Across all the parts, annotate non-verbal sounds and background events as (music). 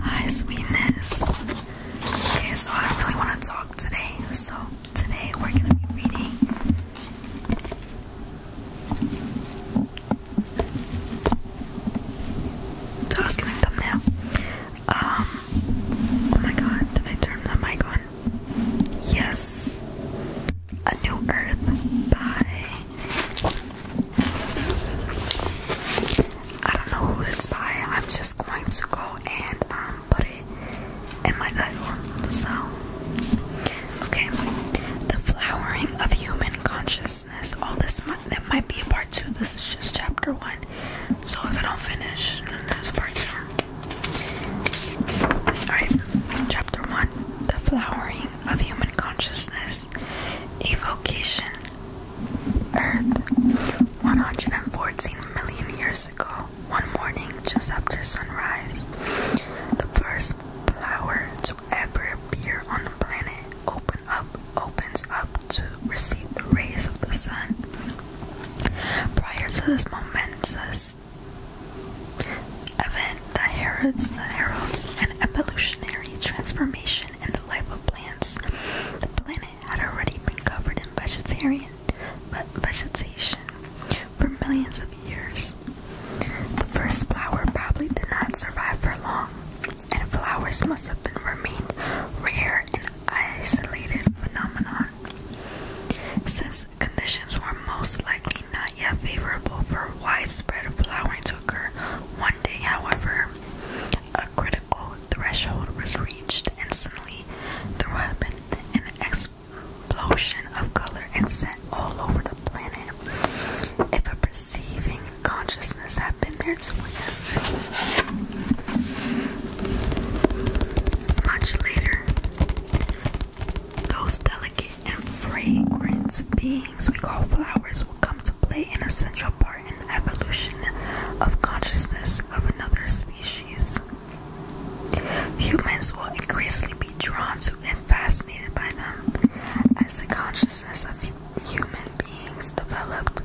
Hi, sweetness. Okay, so I really want to talk today. So, today we're going to be reading so I was gonna thumbnail. Um, oh my god, did I turn the mic on? Yes, A New Earth by I don't know who it's by. I'm just going to go and um put it in my title. So, okay, the flowering of human consciousness. All this month that might be part two. This is just chapter one. So if I don't finish, there's part two. Alright, chapter 1 the flowering of human consciousness, evocation, Earth. 114 million years ago, one morning just after sunrise, the first flower to ever appear on the planet opens up to receive the rays of the sun. Prior to this momentous event that heralds, an evolutionary transformation in the life of plants. The planet had already been covered in vegetation for millions of years. The first flower probably did not survive for long, and flowers must have been remained rare and isolated phenomenon. Since conditions were most likely not yet favorable for widespread flowering to occur. One day, however, a critical threshold was reached, and suddenly there happened an explosion of color and scent all over the planet. If a perceiving consciousness had been there to witness it, much later, those delicate and fragrant beings we call flowers will come to play an essential part in the evolution of consciousness of another species. Humans will increasingly be drawn to and fascinated by them. As the consciousness of human beings developed,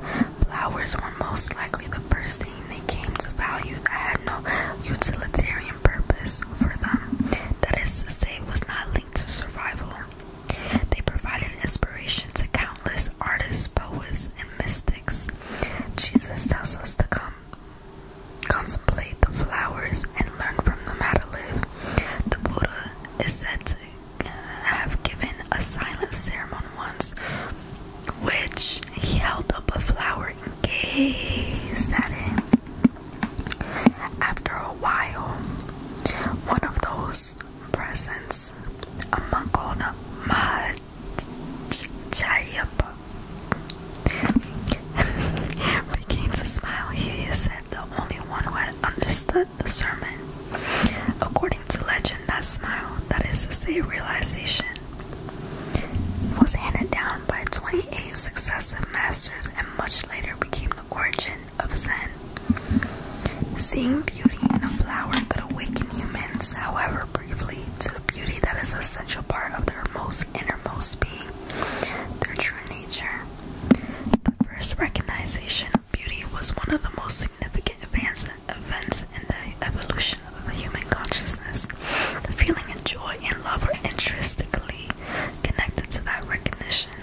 flowers were most likely the first thing they came to value that had no utilitarian purpose for them that is to say was not linked to survival. They provided inspiration to countless artists, poets, and mystics. Jesus tells us to come contemplate the flowers and learn from them how to live. The Buddha is said to uh, have given a silent sermon once, which he held up a flower and gazed at it. After a while, one of those presents, a monk called Mahajayapa, (laughs) begins to smile. He said the only one who understood the sermon. According to legend, that smile, that is to say, realization, was handed down by 20 48 successive masters and much later became the origin of Zen. Seeing beauty in a flower could awaken humans, however briefly, to the beauty that is an essential part of their most innermost being, their true nature. The first recognition of beauty was one of the most significant events in the evolution of the human consciousness. The feeling and joy and love are intrinsically connected to that recognition.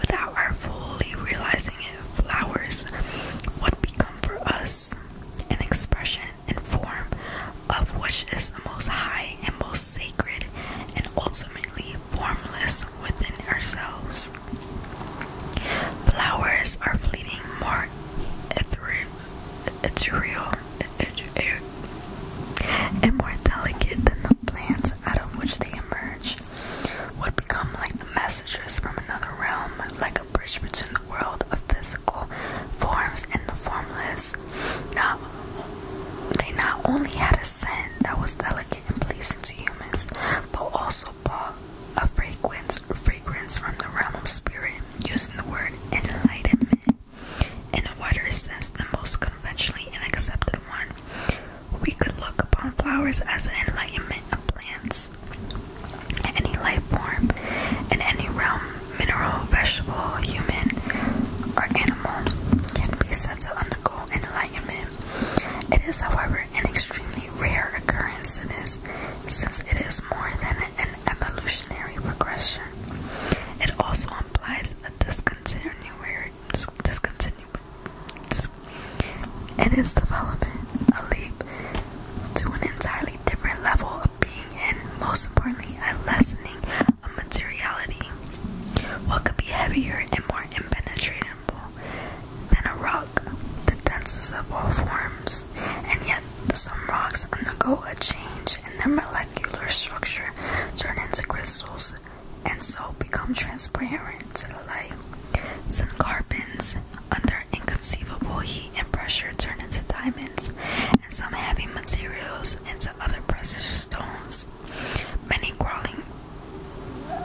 Without our fully realizing it, flowers would become for us an expression and form of which is the most high and most sacred and ultimately formless within ourselves. Flowers are fleeting, more ethereal, and more delicate than the plants out of which they emerge, would become like the messengers from another realm, like a bridge between the world of physical forms and the formless. Now, they not only had a scent that was delicate and pleasing to humans, but also brought a fragrance, fragrance from the realm of spirit, using the word enlightenment in a wider sense than most conventionally and accepted one. We could look upon flowers as an enlightenment of plants. Any life form in any realm, mineral, vegetable, human, or animal, can be said to undergo enlightenment. It is, however, an extremely rare occurrence, since it is more than an evolutionary progression. It also implies a discontinuary discontinue dis its development, a leap to an entirely different level of being and most importantly a lessening of materiality. What could be heavier and more impenetrable than a rock, the densest of all forms, and yet some rocks undergo a change in their molecular structure, turn into crystals, and so become transparent to the light. Some carbons, under inconceivable heat and pressure, turn into diamonds, and some heavy materials into other precious stones. Many crawling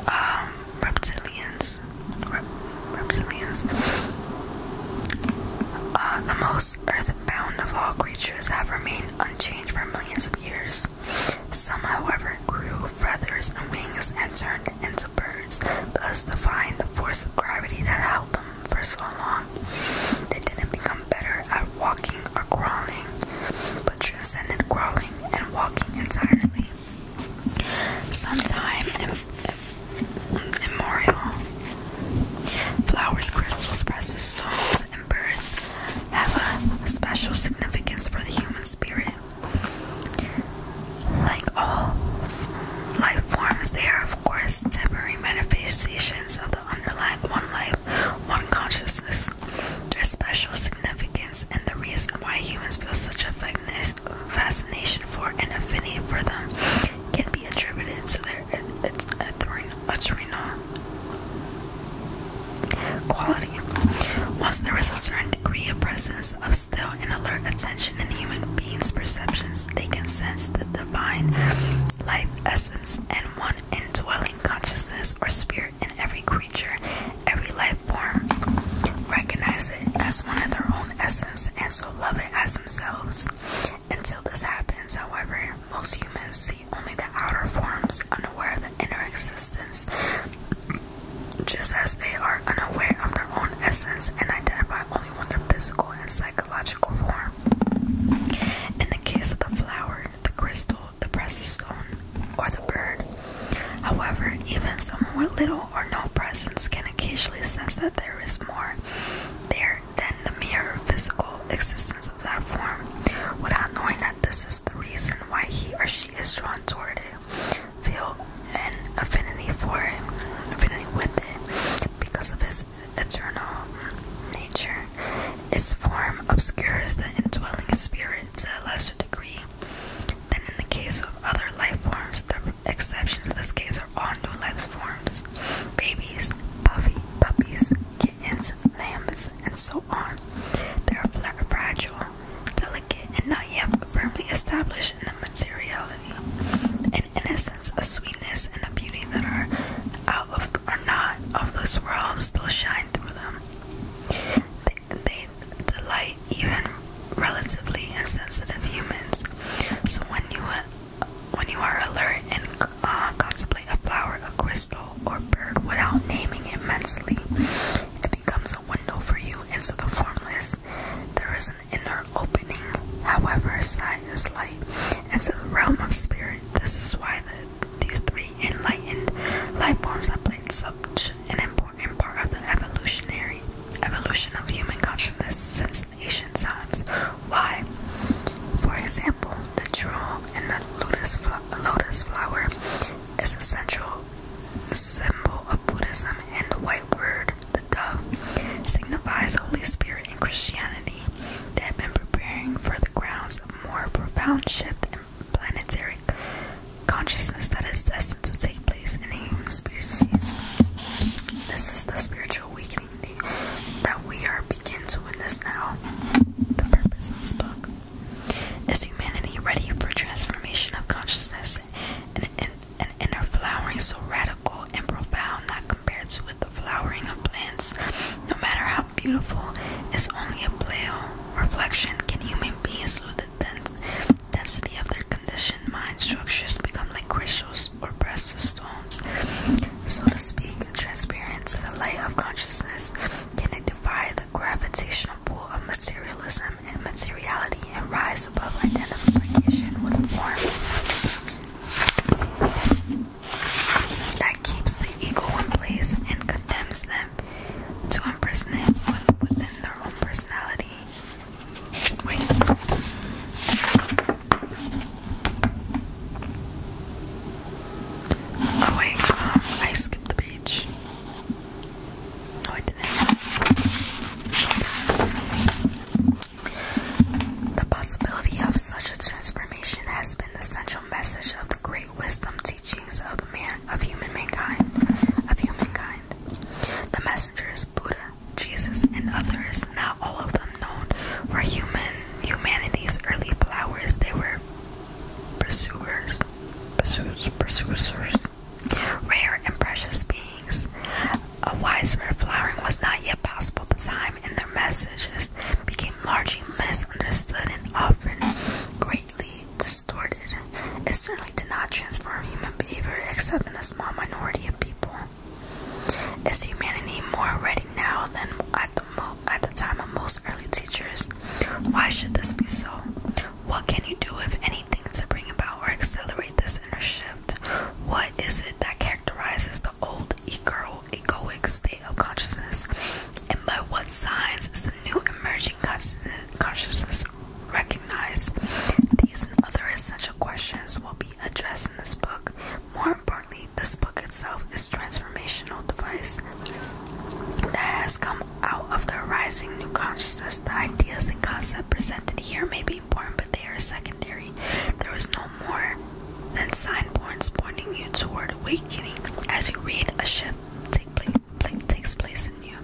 um, reptilians, reptilians. Uh, the most laws, earthbound of all creatures, have remained unchanged for millions of years. Some, however, grew feathers and wings and turned into birds, thus defying the force of gravity that held them for so long. They didn't become better at walking or crawling, but transcended crawling and walking entirely. Sometime Im Flowers, crystals, precious stones, and birds have a special significance for the human spirit. Like all life forms, they are, of course, temporary manifestations of the underlying one life, one consciousness. Their special significance and the reason why humans feel such a fascination for and affinity for them can be attributed to their it, it's eternal quality. Once there is a certain degree of presence of still and alert attention in human beings' perceptions, they can sense the divine life essence and one indwelling consciousness or spirit in every creature, every life form. Recognize it as one of their own essence and so love it as themselves. Until this happens, however, most humans see only the outer forms, unaware of the inner existence, just as they are unaware of their own essence and identify only with their physical and psychological form. In the case of the flower, the crystal, the precious stone, or the bird, however, even someone with little or no presence can occasionally sense that there is more there than the mere physical existence of that form without knowing that this is the reason why he or she is drawn toward it, feel an affinity for it, affinity with it, because of its eternal nature. Its form obscures the indwelling spirit to a lesser degree than in the case of other life forms. The exceptions to this case are there are new life forms babies, puppies, kittens, lambs, and so on. They are fragile, delicate, and not yet firmly established in a materiality, an innocence, a sweetness, and a beauty that are out of are not of this world still shine through them. They, they delight even relatively insensitive humans. So when you when you are alert and uh, contemplate a flower, a crystal, or bird without naming it mentally, it becomes a window for you into the formless. There is an inner opening, however, sight is light, into the realm of spirit. This is why these three enlightened life forms have played such an important part of the evolutionary evolution of human consciousness Asian times. Why? For example, the jewel and the lotus, flower is a central symbol of Buddhism, and the white bird, the dove, signifies Holy Spirit in Christianity. They have been preparing for the grounds of more profound shift in planetary consciousness that is destined to take place in human species. This is the spiritual weakening that we are begin to witness now. The purpose of this book is humanity ready for transformation of consciousness and an, inner flowering so radical and profound that compared to with the flowering of plants, no matter how beautiful, is only a pale reflection. Can human beings through the dens density of their conditioned mind structures become like crystals or precious so to speak, transparent the light of consciousness, can it defy the gravitational pull of materialism and materiality and rise above identification with form? That keeps the ego in place and condemns them to imprisonment within their own personality. Oh wait, um, I skipped the beach. No, I didn't. The possibility of such a transformation has been the central message of the great wisdom teachings of man of human mankind, of humankind. The messengers, Buddha, Jesus, and others, not all of them known, were human humanity's early flowers. They were pursuers, pursuers, pursuers, rare and precious beings. A wise red flowering was not yet possible at the time, and their messages became largely misunderstood and often greatly distorted. It certainly did not transform human behavior except in a small minority of people. Is humanity more ready now than at the at the time of most early teachers? Why should this be so? What can you do, if anything, to bring about or accelerate this inner shift? What is it that characterizes the old ego egoic state of consciousness, and by what signs is the new emerging consciousness recognized? These and other essential questions will be addressed this book. More importantly, this book itself is transformational device that has come out of the rising new consciousness. The ideas and concepts presented here may be important, but they are secondary. There is no more than signboards pointing you toward awakening. As you read, a shift takes place in you.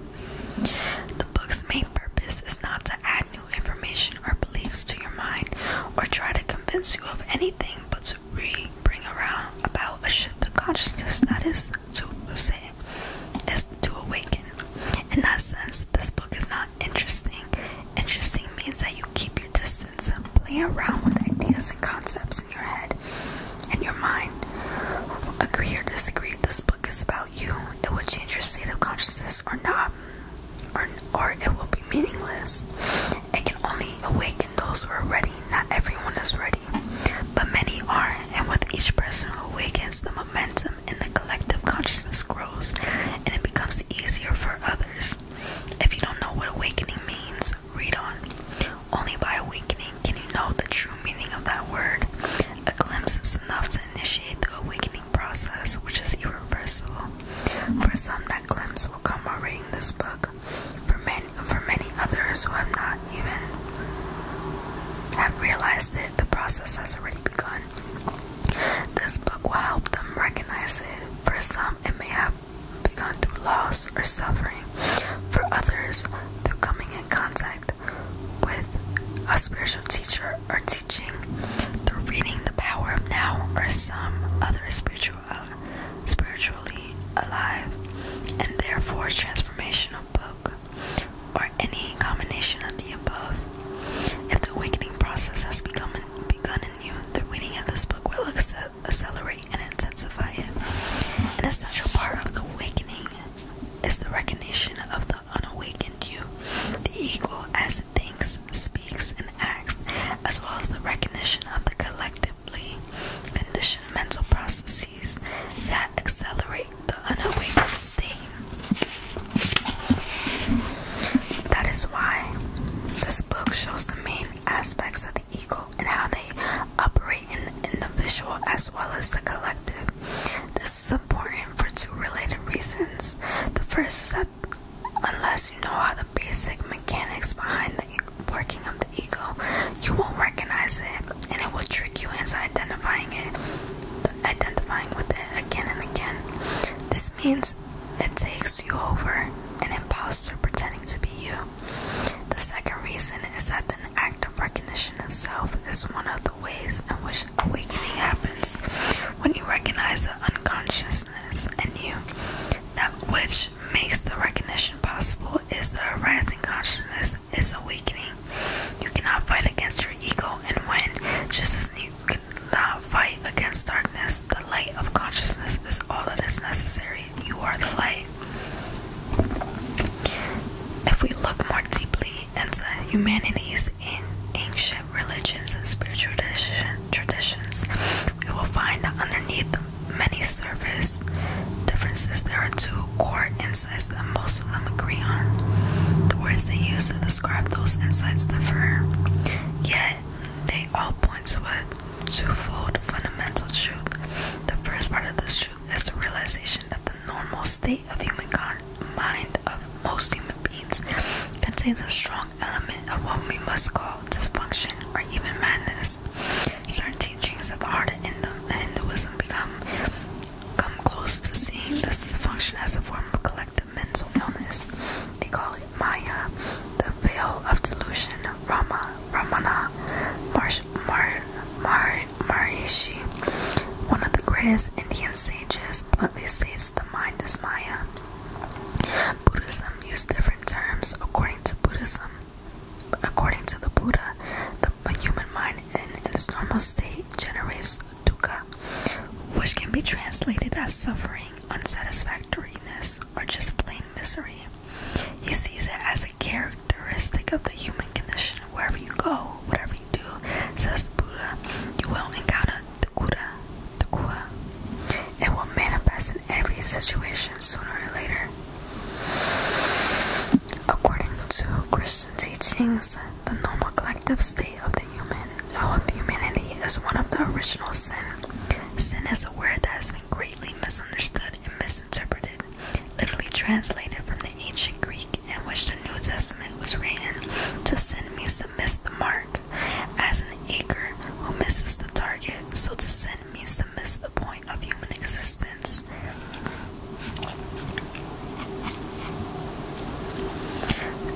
The book's main purpose is not to add information or beliefs to your mind or try to convince you of anything, but to bring around about a shift of consciousness that is to say is to awaken. In that sense, this book is not interesting. Interesting means that you keep your distance and play around with ideas and concepts in your head and your mind. Agree or disagree, this book is about you. It will change your state of consciousness or not or, it will be meaningless. It can only awaken those who are ready. Not everyone is ready, but many are, and with each person who awakens, the momentum in the collective consciousness grows and it becomes easier for others. If you don't know what awakening means, read on. Only by awakening can you know the true meaning of that word. A glimpse is enough to initiate the awakening process, which is irreversible. For some, that glimpse will come by reading this book. For many, for many others who have not even have realized it, the process has already begun. This book will help them recognize it. For some, it may have begun through loss or suffering. For others, through coming in contact with a spiritual teacher or teaching through reading the power of now or some other spiritual spiritually alive and therefore transformational book or any combination of the above. If the awakening process has begun in you, the reading of this book will accelerate and intensify it. An essential part of the awakening is the recognition of the unawakened you. The ego as it thinks, speaks, and acts, as well as the recognition of the collectively conditioned mental processes that accelerate the unawakened state. That is why this book shows the main aspects of the ego and how they operate in the individual as well as the collective. This is important for two related reasons. The first is that Unless you know how the basic mechanics behind the working of the ego, you won't recognize it and it will trick you into identifying it, identifying with it again and again. This means it takes you over an imposter pretending to be you. The second reason is that the act of recognition itself is one of the ways in which awakening happens when you recognize the unconsciousness in you. That which makes the recognition possible is the arising consciousness is awakening. You cannot fight against your ego and win, just as you cannot fight against darkness. The light of consciousness is all that is necessary. You are the light. If we look more deeply into humanity's in ancient religions and spiritual traditions, we will find that underneath many surface differences, there are two core insights that most of them agree on. The words they use to describe those insights differ, yet they all point to a twofold fundamental truth. The first part of this truth is the realization that the normal state of humankind mind of most human beings contains a strong element of what we must call dysfunction or even madness. Certain teachings of the art the Hinduism become come close to seeing this dysfunction as a form of collective mental illness. They call it Maya, the veil of delusion, Rama, Ramana, Marsh, Mar, Mar, Marishi, one of the greatest Indian sages, bluntly states the mind is Maya. Buddhism uses different terms according to Buddhism. According to the Buddha, the human mind in, in its normal state generates dukkha, which can be translated as suffering, unsatisfactoriness, or just plain misery. He sees it as a characteristic of the human condition wherever you go, whatever to Sasapura, you will encounter Takura, Takua. It will manifest in every situation sooner or later. According to Christian teachings, the normal collective state of the human humanity is one of the original sin. Sin is a word that has been greatly misunderstood and misinterpreted, literally translated from the ancient Greek in which the New Testament testament was written to send me to miss the mark, as an acre who misses the target, so to send means to miss the point of human existence.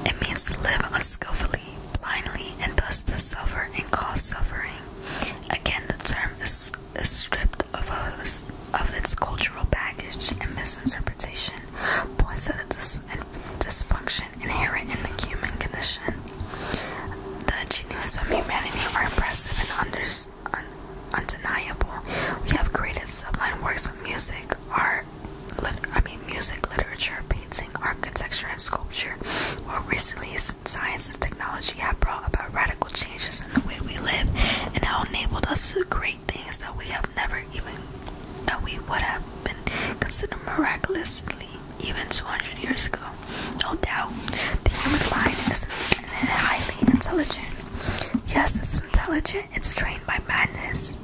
It means to live unskillfully, blindly, and thus to suffer and cause suffering. Again, the term is, stripped of, its cultural baggage and misinterpretation, points at a and dysfunction inherent in the human condition. The genius of humanity are impressive and undeniable. We have created sublime works of music, art, I mean music, literature, painting, architecture, and sculpture. More recently, science and technology have brought about radical changes in the way we live and have enabled us to create things that we have never even that we would have been considered miraculously even 200 years ago. No doubt, the human mind is highly intelligent. Yes, it's intelligent. It's trained by madness.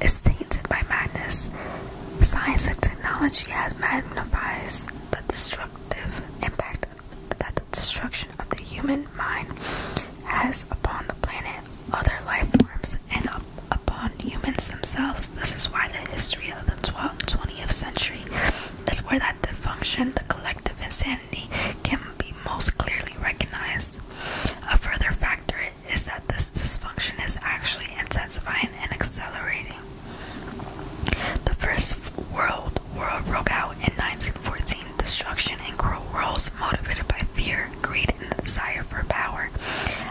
It's tainted by madness. Science and technology has magnified the destructive impact that the destruction of the human mind has upon the planet other life forms and upon humans themselves. This is why the history of the 12th, 20th century is where that dysfunction, the collective insanity, can be most clearly recognized. A further factor is that this dysfunction is actually intensifying and accelerating. The First World War broke out in 1914 destruction and cruel worlds motivated by fear, greed, and the desire for power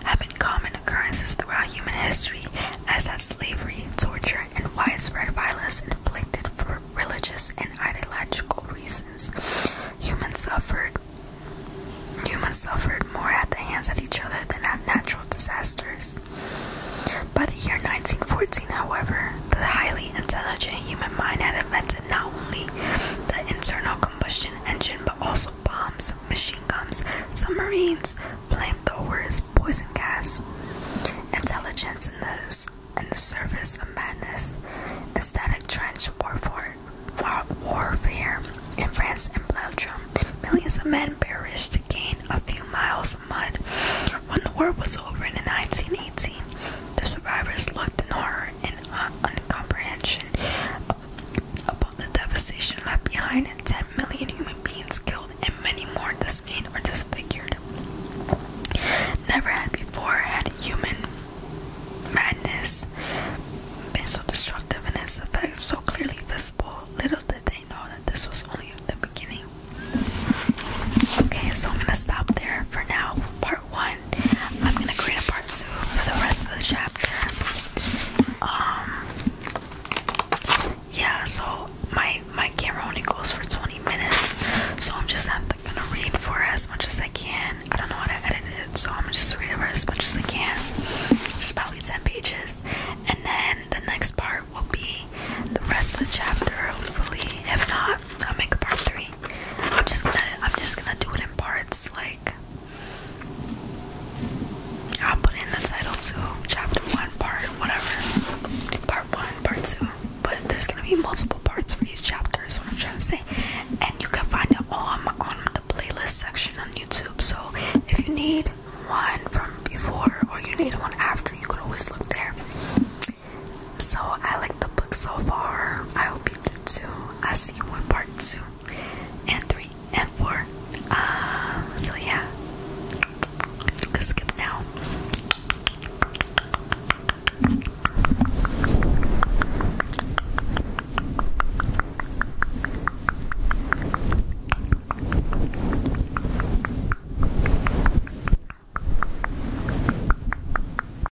have been common occurrences throughout human history, as has slavery, torture, and widespread violence inflicted for religious and ideological reasons. Humans suffered. Humans suffered more at the hands of each other than at natural disasters. By the year 1914, however, the highly intelligent human mind had invented not only the internal combustion engine, but also bombs, machine guns, submarines, flamethrowers, poison gas, intelligence in the, in the service of madness, static trench warfare, war, warfare. In France and Belgium, millions of men perished to gain a few miles of mud. When the war was over in 1918, the survivors looked north horror and uncomprehension upon the devastation left behind, and 10 million human beings killed, and many more dismayed or disfigured. Never had before had human madness been so destructive and its effects, so clearly visible. Little did they know that this was only the beginning. Okay, so I'm gonna stop there for now. Part one. I'm gonna create a part two for the rest of the chapter. Um, yeah. So my my camera only goes for 20 minutes, so I'm just gonna read for as much as I can. I don't know how to edit it, so I'm just reading for as much as I can. Just probably 10 pages, and then the next part will be the rest of the chapter. Hopefully, if not, I'll make a part three. I'm just gonna I'm just gonna do it in parts like I'll put in the title to chapter one, part whatever. Part one, part two. But there's gonna be multiple parts for each chapter is what I'm trying to say. And you can find it all on, on the playlist section on YouTube. So if you need one from before or you need one after, you could always look there. So I like the book so far. I hope you do too. I see you in part two and three and four. Um so yeah. You can skip now.